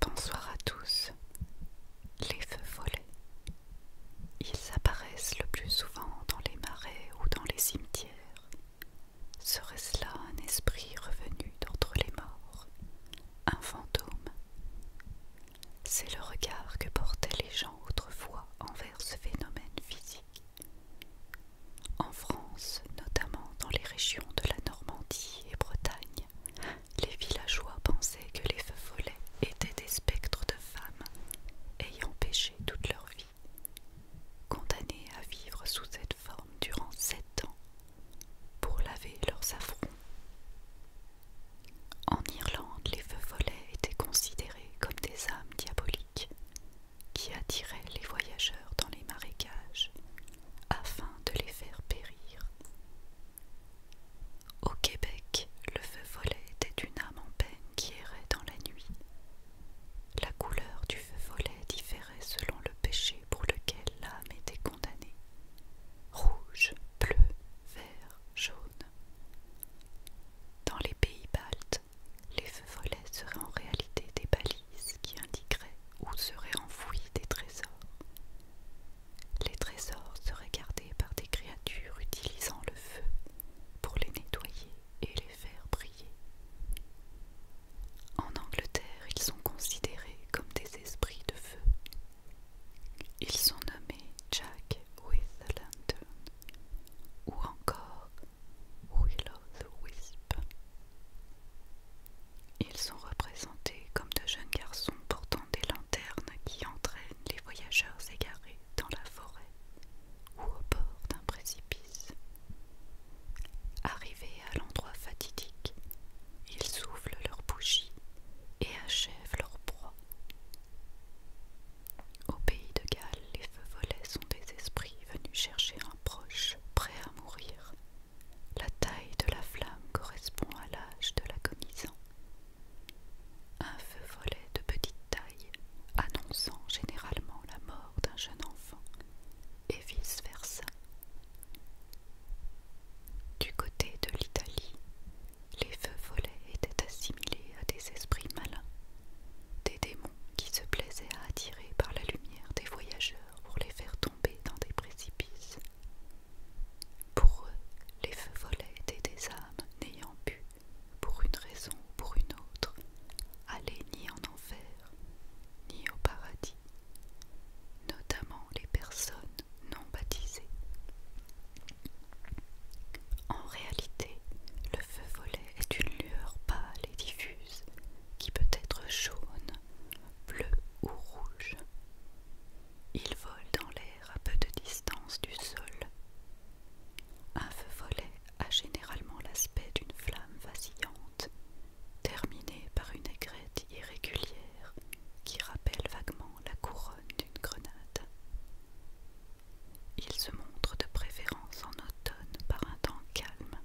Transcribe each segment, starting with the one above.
Bonsoir à tous. Les feux volés. Ils apparaissent le plus souvent dans les marais ou dans les cimetières. Serait-ce là un esprit revenu d'entre les morts, un fantôme C'est le regard que portaient les gens autrefois envers ce phénomène physique. En France, notamment dans les régions de la Normandie et Bretagne, les villageois pensaient que les feux follets étaient des spectres de femmes ayant péché toute leur vie, condamnées à vivre sous cette forme durant sept ans pour laver leurs affronts. En Irlande, les feux follets étaient considérés comme des âmes diaboliques qui attirait les voyageurs dans les marécages afin de les faire périr. Au Québec, le feu volet était une âme en peine qui errait dans la nuit. La couleur du feu volet différait selon le péché pour lequel l'âme était condamnée. Rouge, bleu, vert, jaune. Dans les pays baltes, les feux volets seraient en réalité des balises qui indiqueraient où seraient enfouis des trésors. Les trésors seraient gardés par des créatures utilisant le feu pour les nettoyer et les faire briller. En Angleterre, ils sont considérés comme des esprits de feu. Ils sont nommés Jack with a Lantern ou encore the wisp Ils sont représentés comme de jeunes garçons portant des lanternes qui entraînent les voyageurs égarés dans la forêt ou au bord d'un précipice. Arrivés à l'endroit fatidique, ils soufflent leurs bougies et achèvent leur proie. Au pays de Galles, les feux volets sont des esprits venus chercher un proche prêt à mourir. La taille de la flamme correspond à l'âge de l'agonisant. Un feu volet de petite taille, annonçant généralement la mort d'un jeune enfant, et vice-versa. Du côté de l'Italie, les feux volets étaient assimilés à des esprits malins des démons qui se plaisaient à attirer par la lumière des voyageurs pour les faire tomber dans des précipices. Pour eux, les feux volaient étaient des âmes n'ayant pu, pour une raison ou pour une autre, aller ni en enfer, ni au paradis, notamment les personnes non baptisées. En réalité, le feu volet est une lueur pâle et diffuse qui peut être jaune, bleue ou rouge. Il vole dans l'air à peu de distance du sol. Un feu volet a généralement l'aspect d'une flamme vacillante, terminée par une aigrette irrégulière qui rappelle vaguement la couronne d'une grenade. Il se montre de préférence en automne par un temps calme.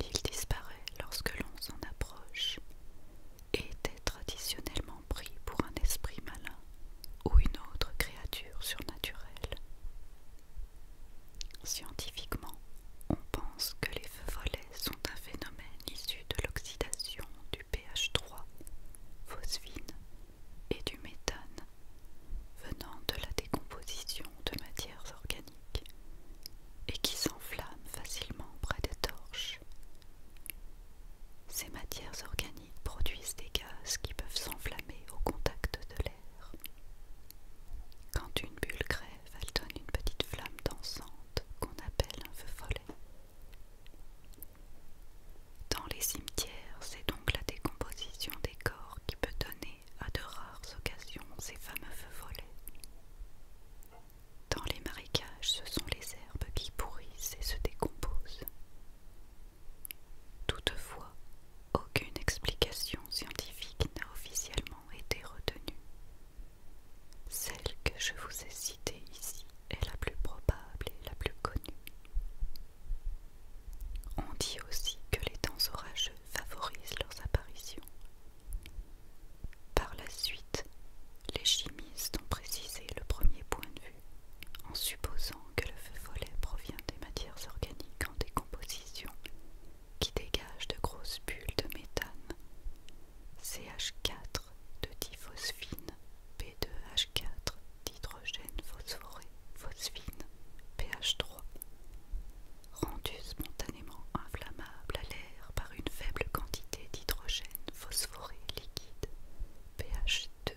Il disparaît lorsque l'on s'en approche et était traditionnellement pris pour un esprit malin ou une autre créature surnaturelle. Scientifiquement, on pense que les feux volets sont un phénomène issu de l'oxydation du pH3, phosphine et du méthane venant de la décomposition de matières organiques et qui s'enflamment facilement près des torches. Ces matières organiques produisent des gaz qui peuvent s'enflammer au contact de l'air. Quand une bulle crève, elle donne une petite flamme dansante qu'on appelle un feu follet. Dans les cimetières, c'est donc la décomposition des corps qui peut donner à de rares occasions ces fameux feux volets. Dans les marécages, ce sont les herbes qui pourrissent et se décomposent. Toutefois, aucune explication scientifique n'a officiellement été retenue. Celle que je vous ai citée ici est la plus probable et la plus connue. On dit aussi que les temps orageux favorisent leurs apparitions. Par la suite, les chimistes ont précisé le premier point de vue en supposant que le feu follet provient des matières organiques en décomposition qui dégagent de grosses bulles de méthane, CH4 de diphosphine, B2H4 d'hydrogène phosphoré, phosphine, pH 3, rendu spontanément inflammable à l'air par une faible quantité d'hydrogène phosphoré liquide, pH 2.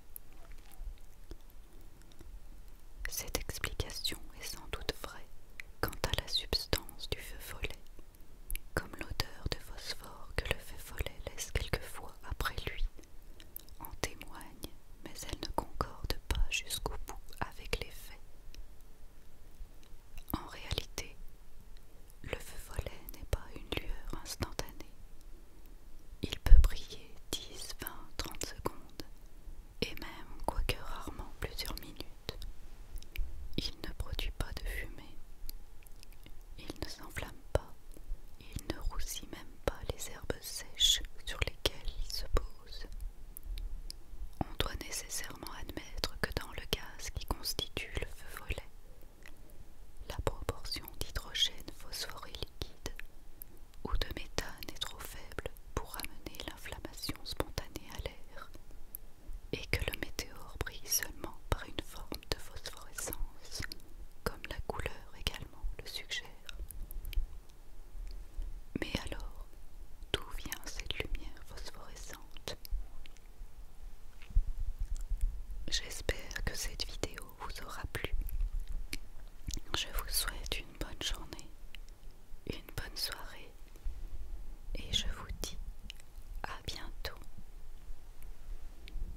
Cette explication est sans doute vraie quant à la substance du feu follet, comme l'odeur de phosphore que le feu follet laisse quelquefois après lui, en témoigne, mais elle ne concorde pas jusqu'au bout avec les faits. En réalité, le feu volet n'est pas une lueur instantanée. Il peut briller 10, 20, 30 secondes, et même, quoique rarement, plusieurs minutes. Il ne produit pas de fumée. Il ne s'enflamme pas, il ne roussit même pas les herbes sèches sur lesquelles il se pose. On doit nécessairement admettre que dans le gaz qui constitue le feu volet, la proportion d'hydrogène phosphoré liquide ou de méthane est trop faible pour amener l'inflammation spontanée à l'air et que le météore brille seulement par une forme de phosphorescence, comme la couleur également le suggère. Mais alors, d'où vient cette lumière phosphorescente J'espère que cette vidéo vous aura plu. Je vous souhaite une bonne journée, une bonne soirée et je vous dis à bientôt.